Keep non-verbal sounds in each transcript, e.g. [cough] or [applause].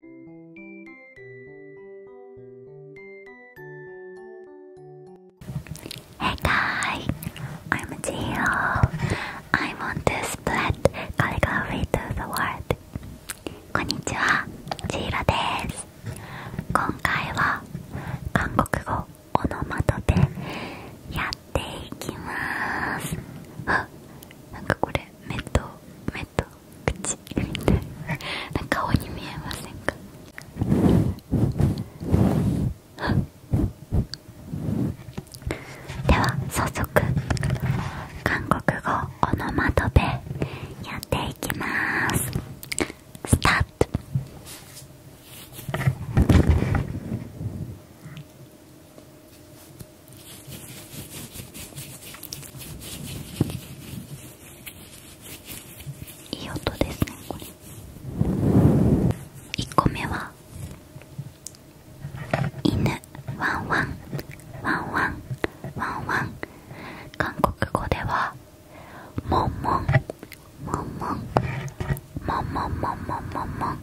Hey guys, I'm Jiro. I want to spread calligraphy to the world. こんにちは、ジーロです。今回は韓国語オノマトペやっていきます。あ、なんかこれ、メット、メット、口みたいな顔に見えませんか [laughs] では早速韓国語この窓トやっていきますスタートいい音ですねこれ1個目は犬ワンワンワンワンワンワン韓国語ではモンモンモンモンモンモンモンモンモンモンモン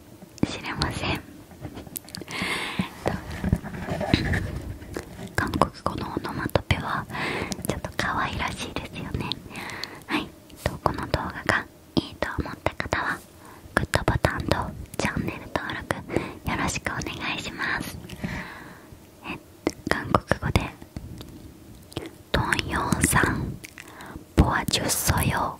知れません韓国語のオノマトペはちょっと可愛らしいですよねはいこの動画がいいと思った方はグッドボタンとチャンネル登録よろしくお願いしますえ韓国語で「トンヨウさんボアジュッソヨ